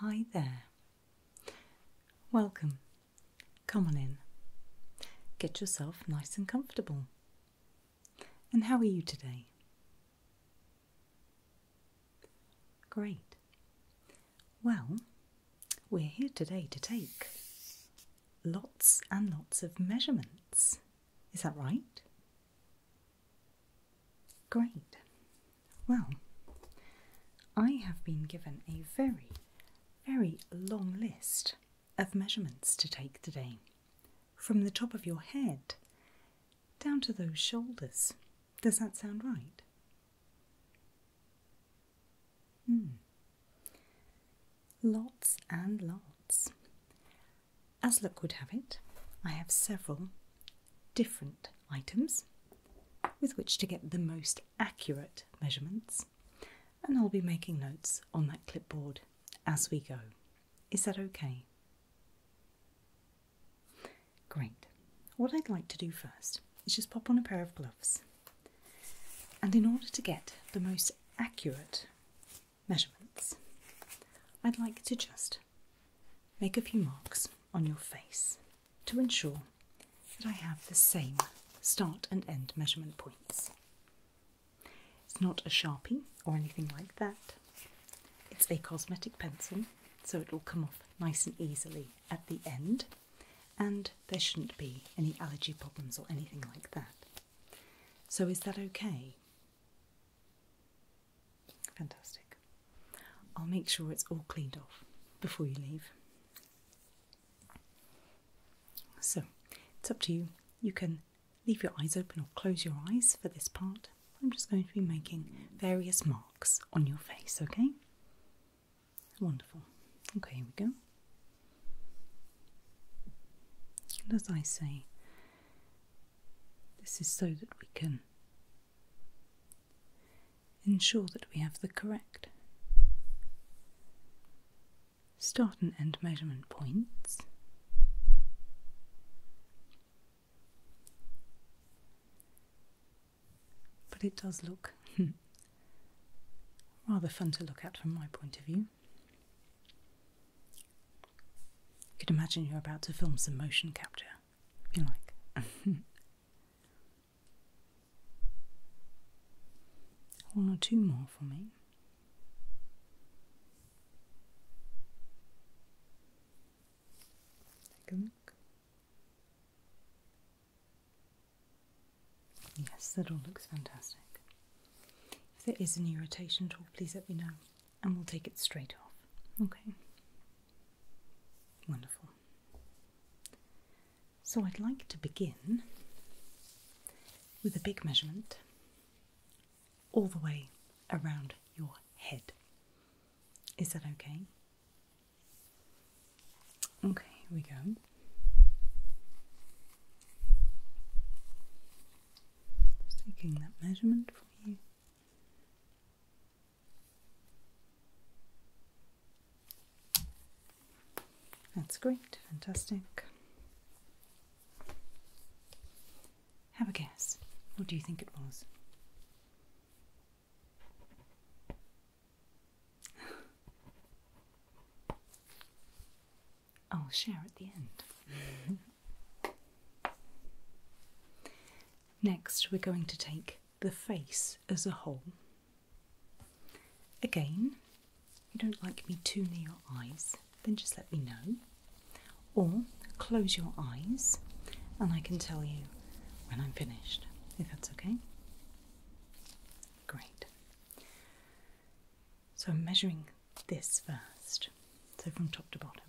Hi there. Welcome. Come on in. Get yourself nice and comfortable. And how are you today? Great. Well, we're here today to take lots and lots of measurements. Is that right? Great. Well, I have been given a very, very long list of measurements to take today, from the top of your head down to those shoulders. Does that sound right? Hmm. Lots and lots. As luck would have it, I have several different items with which to get the most accurate measurements, and I'll be making notes on that clipboard as we go. Is that okay? Great. What I'd like to do first is just pop on a pair of gloves. And in order to get the most accurate measurements, I'd like to just make a few marks on your face to ensure that I have the same start and end measurement points. It's not a sharpie or anything like that, it's a cosmetic pencil, so it will come off nice and easily at the end, and there shouldn't be any allergy problems or anything like that. So, is that okay? Fantastic. I'll make sure it's all cleaned off before you leave. So it's up to you. You can leave your eyes open or close your eyes for this part. I'm just going to be making various marks on your face, okay? Wonderful. Okay, here we go. And as I say, this is so that we can Ensure that we have the correct start and end measurement points. But it does look rather fun to look at from my point of view. You could imagine you're about to film some motion capture you like. One or two more for me. Take a look. Yes, that all looks fantastic. If there is any irritation at all, please let me know and we'll take it straight off. Okay. Wonderful. So I'd like to begin with a big measurement all the way around your head. Is that okay? Okay, here we go. taking that measurement for you. That's great, fantastic. Have a guess. What do you think it was? I'll share at the end. Next, we're going to take the face as a whole. Again, you don't like me too near your eyes, then just let me know. Or close your eyes and I can tell you when I'm finished, if that's okay. Great. So I'm measuring this first, so from top to bottom,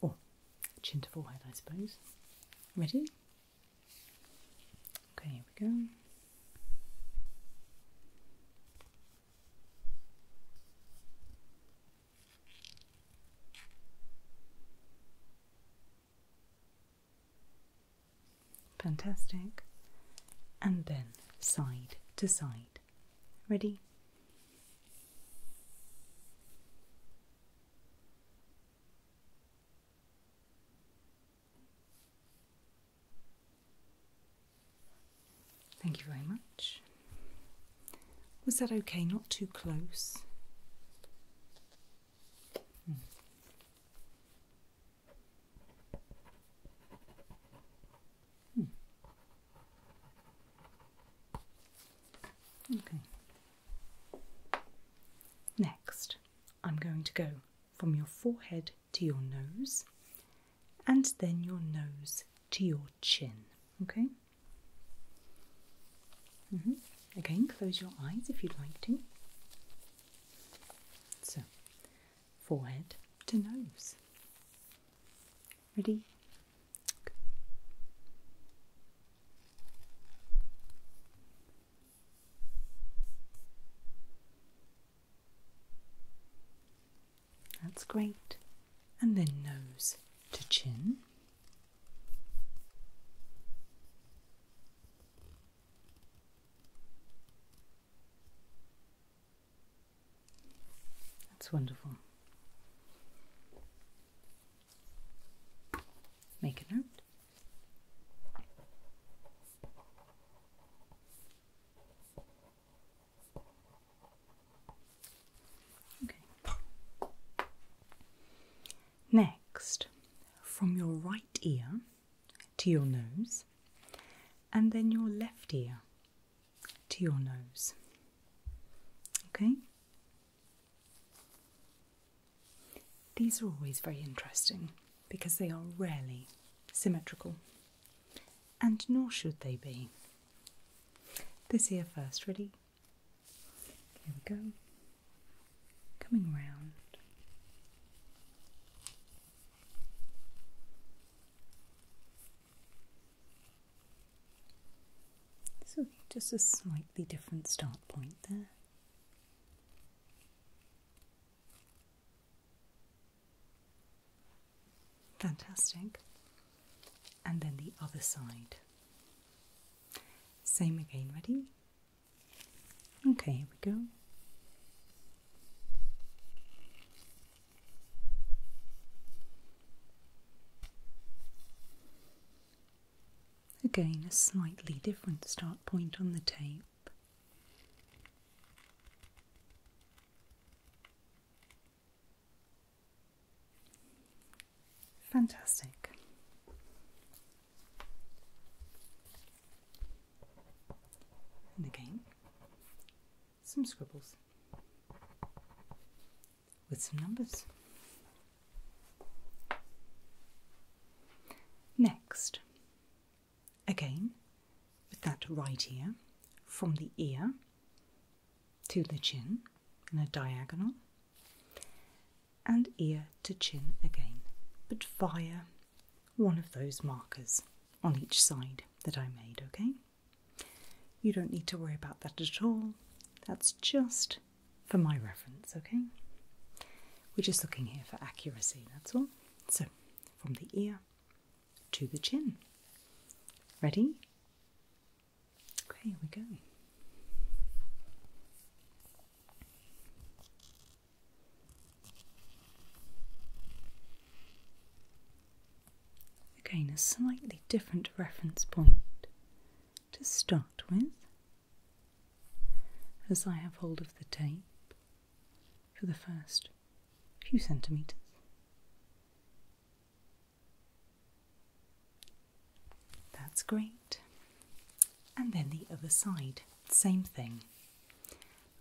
or chin to forehead, I suppose. Ready? Okay, here we go. Fantastic. And then side to side. Ready? Thank you very much. Was that okay? Not too close. Hmm. Okay. Next, I'm going to go from your forehead to your nose and then your nose to your chin. Okay? Mm-hmm. Again, close your eyes if you'd like to. So, forehead to nose. Ready? That's great. And then nose to chin. That's wonderful. Make a note. Okay. Next, from your right ear to your nose, and then your left ear to your nose. Okay? These are always very interesting because they are rarely symmetrical, and nor should they be. This ear first, ready? Here we go. Coming round. So just a slightly different start point there. Fantastic. And then the other side. Same again, ready? Okay, here we go. Again, a slightly different start point on the tape. Fantastic. And again, some scribbles with some numbers. Next, again with that right ear from the ear to the chin in a diagonal and ear to chin again, but via one of those markers on each side that I made, okay? You don't need to worry about that at all. That's just for my reference, okay? We're just looking here for accuracy, that's all. So, from the ear to the chin. Ready? Okay, we go. Again, a slightly different reference point to start with, as I have hold of the tape for the first few centimetres. That's great. And then the other side, same thing.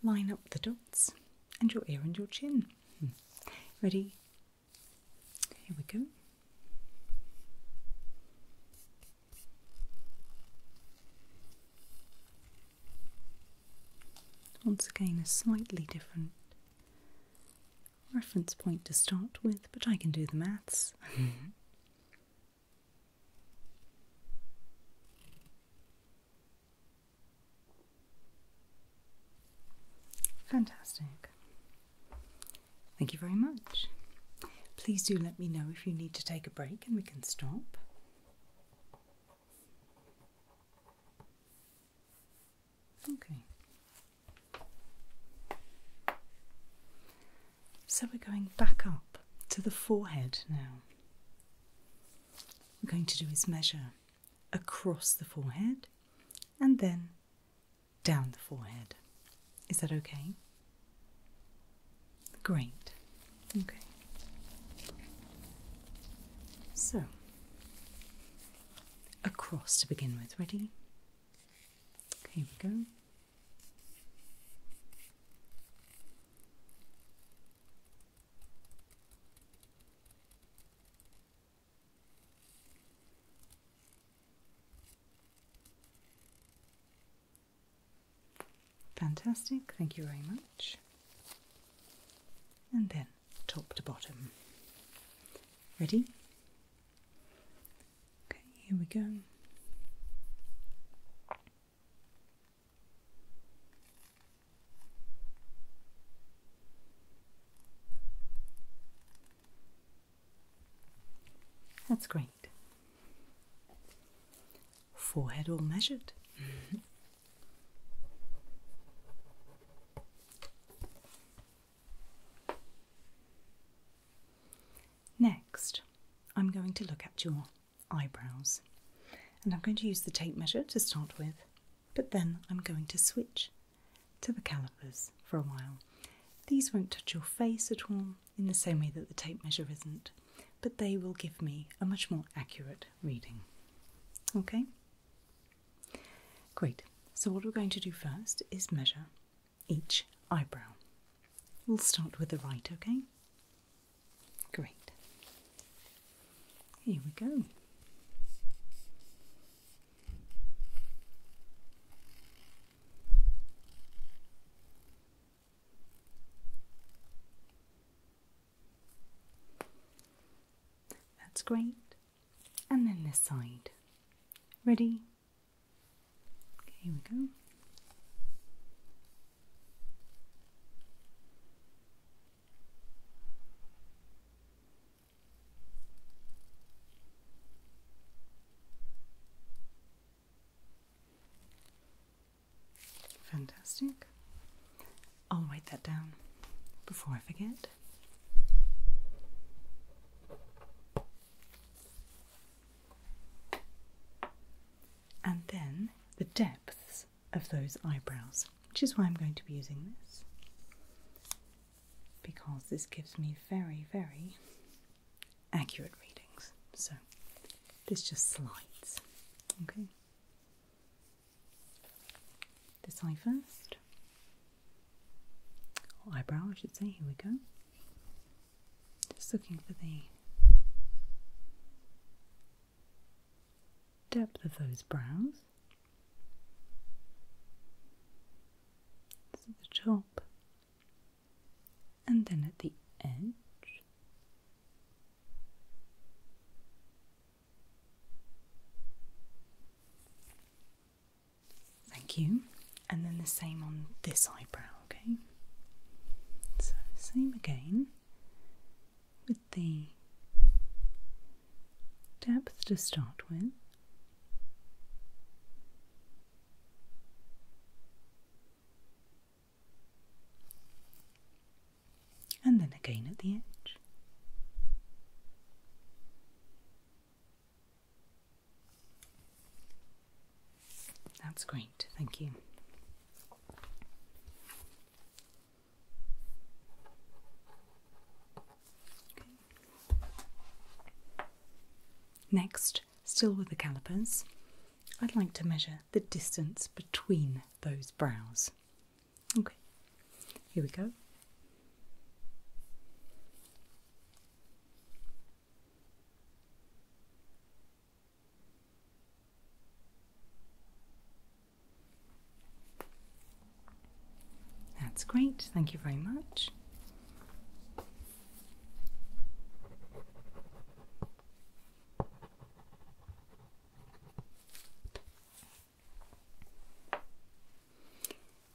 Line up the dots and your ear and your chin. Hmm. Ready? Here we go. Once again, a slightly different reference point to start with, but I can do the maths. Fantastic. Thank you very much. Please do let me know if you need to take a break and we can stop. Okay. So we're going back up to the forehead now. we're going to do is measure across the forehead and then down the forehead. Is that okay? Great. Okay. So, across to begin with. Ready? here we go. Fantastic, thank you very much. And then top to bottom. Ready? Okay, here we go. That's great. Forehead all measured. Mm-hmm. Next, I'm going to look at your eyebrows. And I'm going to use the tape measure to start with but then I'm going to switch to the calipers for a while. These won't touch your face at all in the same way that the tape measure isn't, but they will give me a much more accurate reading. Okay? Great. So, what we're going to do first is measure each eyebrow. We'll start with the right, okay? Great. Here we go. That's great. And then this side. Ready? Here we go. Fantastic. I'll write that down before I forget. And then the depths of those eyebrows, which is why I'm going to be using this because this gives me very, very accurate readings. So this just slides. Okay. This eye first, eyebrow, I should say. Here we go. Just looking for the depth of those brows. At the top and then at the edge. Thank you. And then the same on this eyebrow, okay? So, same again with the depth to start with. And then again at the edge. That's great, thank you. Next, still with the calipers, I'd like to measure the distance between those brows. Okay, here we go. That's great, thank you very much.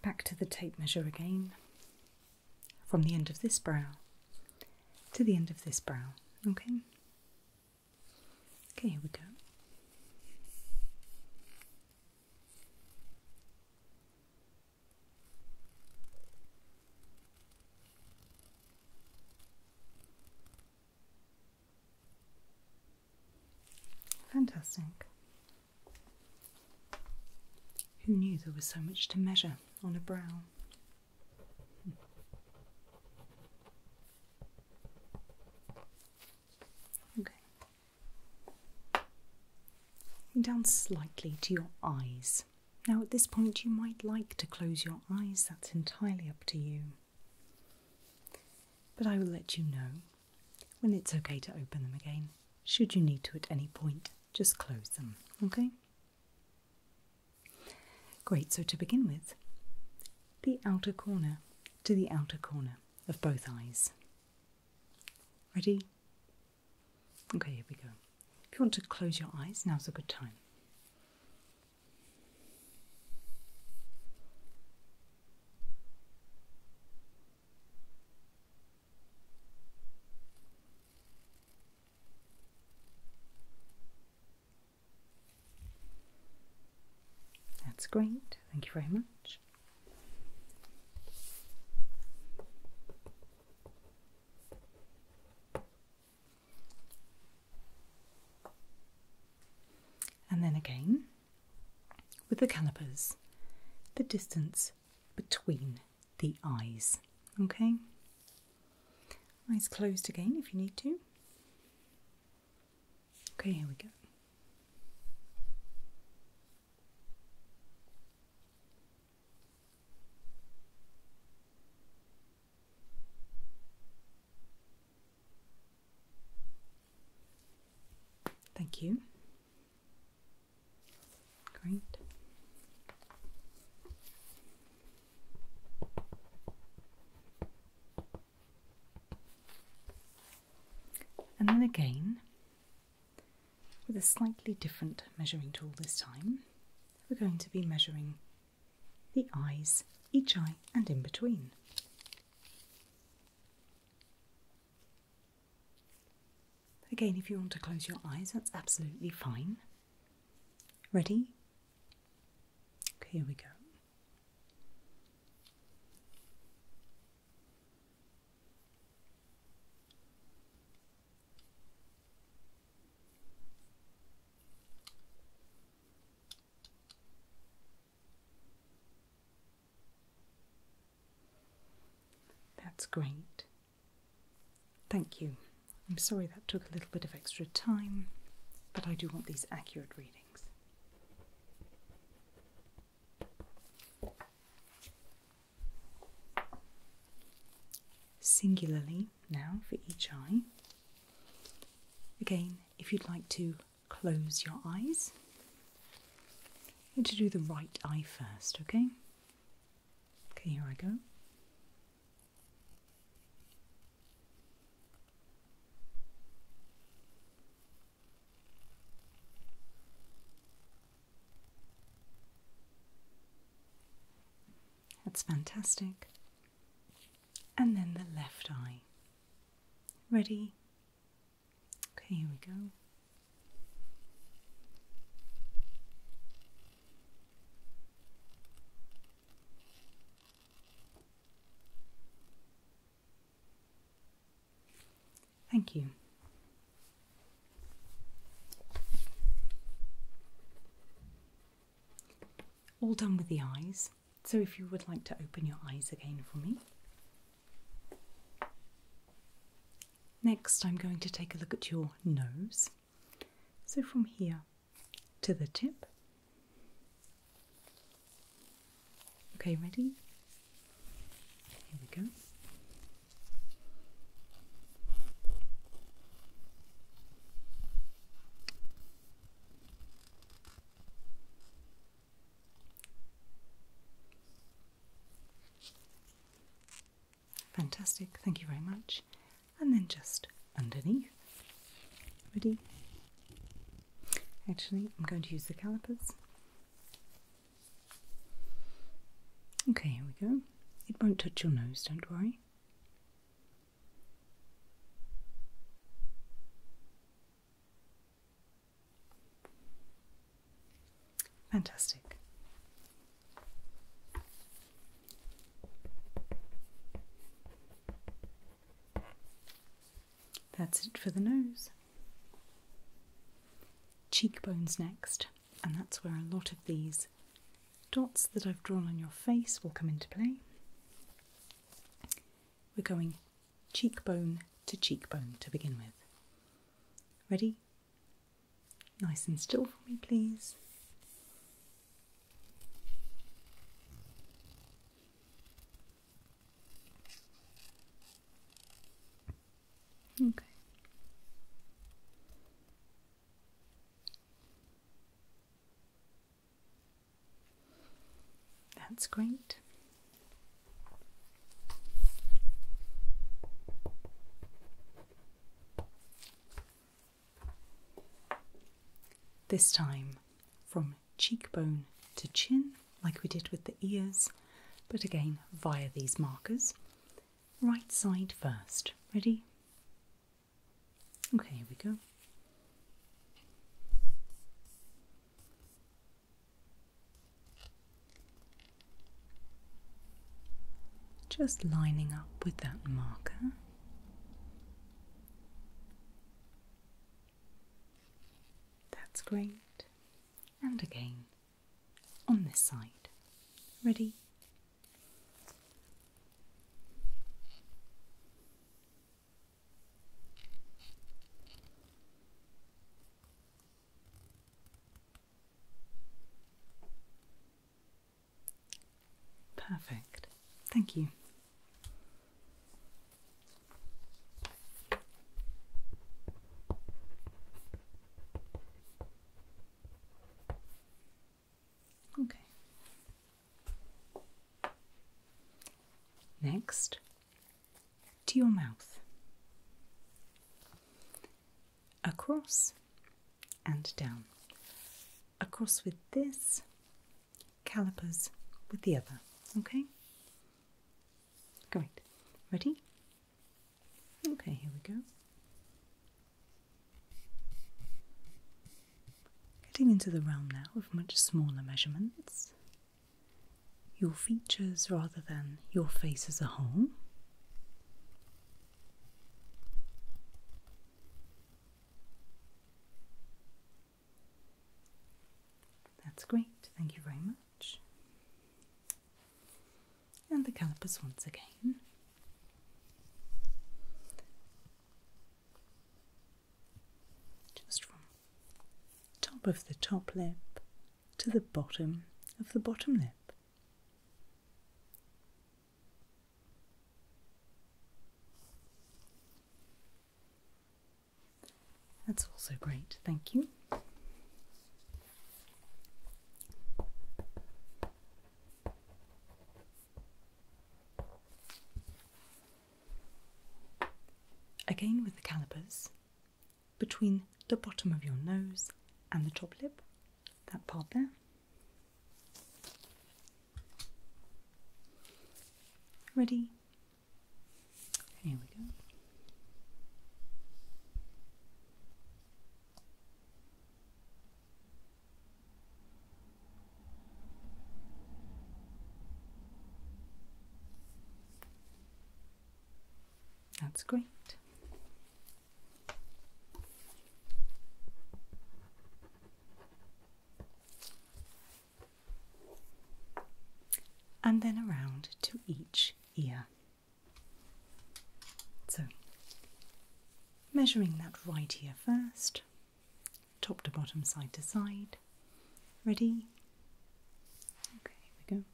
Back to the tape measure again. From the end of this brow to the end of this brow, okay? Okay, here we go. Fantastic. Who knew there was so much to measure on a brow? Hmm. Okay. Down slightly to your eyes. Now, at this point, you might like to close your eyes, that's entirely up to you. But I will let you know when it's okay to open them again. Should you need to at any point, just close them, okay? Great, so to begin with, the outer corner to the outer corner of both eyes. Ready? Okay, here we go. If you want to close your eyes, now's a good time. That's great. Thank you very much. And then again with the calipers, the distance between the eyes. Okay? Eyes closed again if you need to. Okay, here we go. Thank you. Great. And then again, with a slightly different measuring tool this time, we're going to be measuring the eyes, each eye and in between. Again, if you want to close your eyes, that's absolutely fine. Ready? Here we go. That's great. Thank you. I'm sorry that took a little bit of extra time, but I do want these accurate. Singularly, now for each eye. Again, if you'd like to close your eyes, you to do the right eye first, okay? Okay, here I go. That's fantastic. And then the left eye. Ready? Okay, here we go. Thank you. All done with the eyes. So, if you would like to open your eyes again for me. Next, I'm going to take a look at your nose. So, from here, to the tip. Okay, ready? Here we go. Fantastic, thank you very much and then just underneath. Ready? Actually, I'm going to use the calipers. Okay, here we go. It won't touch your nose, don't worry. Fantastic. That's it for the nose. Cheekbones next, and that's where a lot of these dots that I've drawn on your face will come into play. We're going cheekbone to cheekbone to begin with. Ready? Nice and still for me, please. Okay. That's great. This time from cheekbone to chin, like we did with the ears, but again via these markers. Right side first. Ready? Okay, here we go. Just lining up with that marker. That's great. And again on this side. Ready? Perfect. Thank you. Okay. Next, to your mouth. Across and down. Across with this, calipers with the other. Okay? Great. Ready? Okay, here we go. Getting into the realm now of much smaller measurements. Your features rather than your face as a whole. That's great, thank you very much. And the calipers once again. Just from top of the top lip to the bottom of the bottom lip. That's also great, thank you. Again with the calipers, between the bottom of your nose and the top lip, that part there. Ready? Here we go. That's great and then around to each ear. So, measuring that right ear first, top to bottom, side to side. Ready? Okay, we go.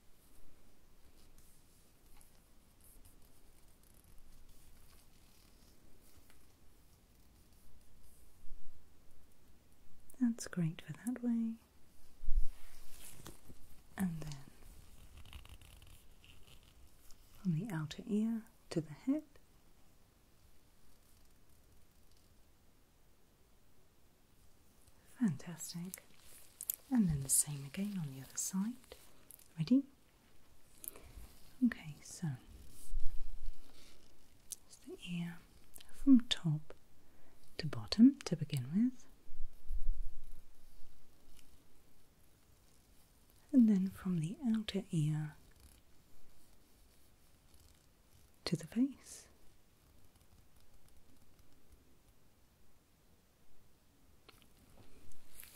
That's great for that way. And then from the outer ear to the head. Fantastic. And then the same again on the other side. Ready? Okay, so the ear from top to bottom to begin with, and then from the outer ear to the face.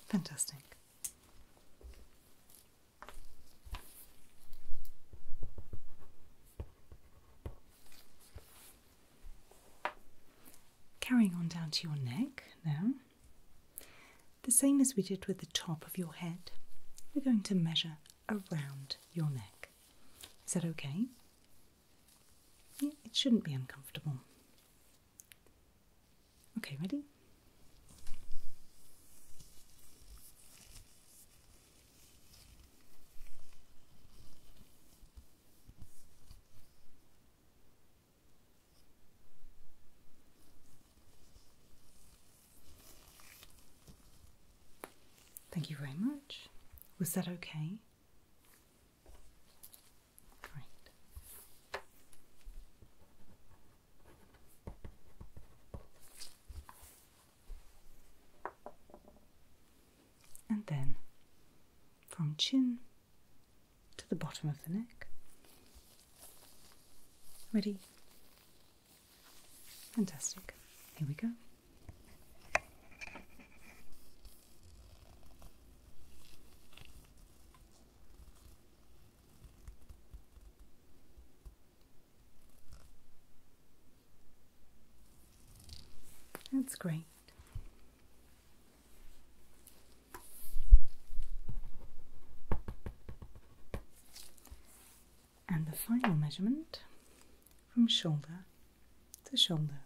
Fantastic. Carrying on down to your neck now, the same as we did with the top of your head, we're going to measure around your neck. Is that okay? Yeah, it shouldn't be uncomfortable. Okay, ready? Thank you very much. Was that okay? Great. And then from chin to the bottom of the neck. Ready? Fantastic. Here we go. That's great. And the final measurement from shoulder to shoulder.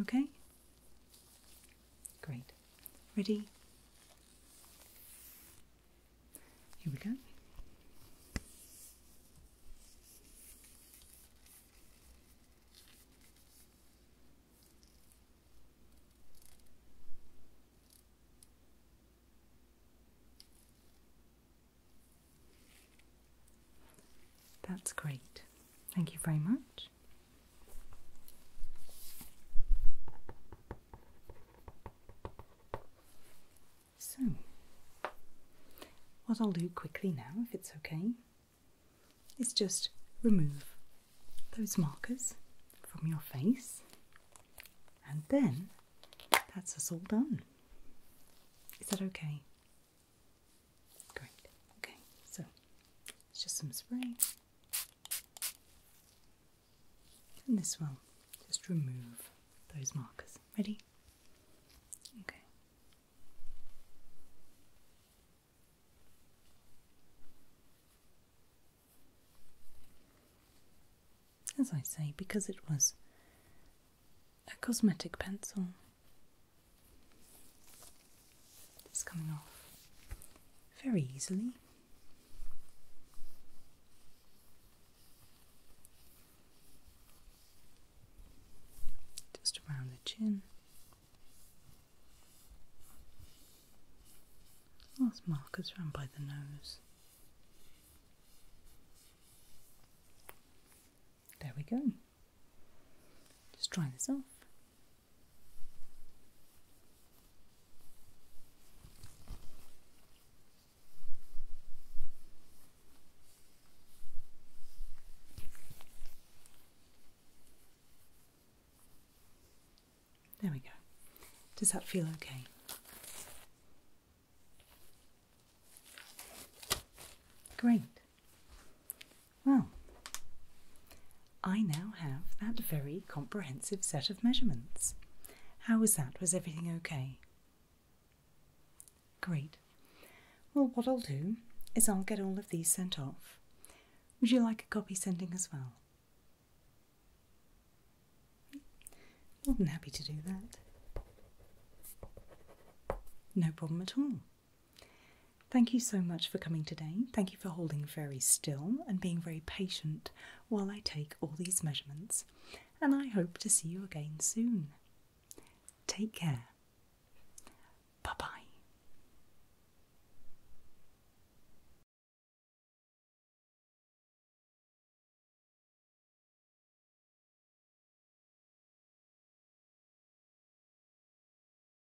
Okay? Great. Ready? Here we go. That's great. Thank you very much. So, what I'll do quickly now, if it's okay, is just remove those markers from your face, and then that's us all done. Is that okay? Great. Okay, so it's just some spray. And this will just remove those markers. Ready? Okay. As I say, because it was a cosmetic pencil, it's coming off very easily. Just around the chin. Last markers round by the nose. There we go. Just try this off. There we go. Does that feel okay? Great. Well, I now have that very comprehensive set of measurements. How was that? Was everything okay? Great. Well, what I'll do is I'll get all of these sent off. Would you like a copy sending as well? More than happy to do that. No problem at all. Thank you so much for coming today. Thank you for holding very still and being very patient while I take all these measurements. And I hope to see you again soon. Take care. Bye bye.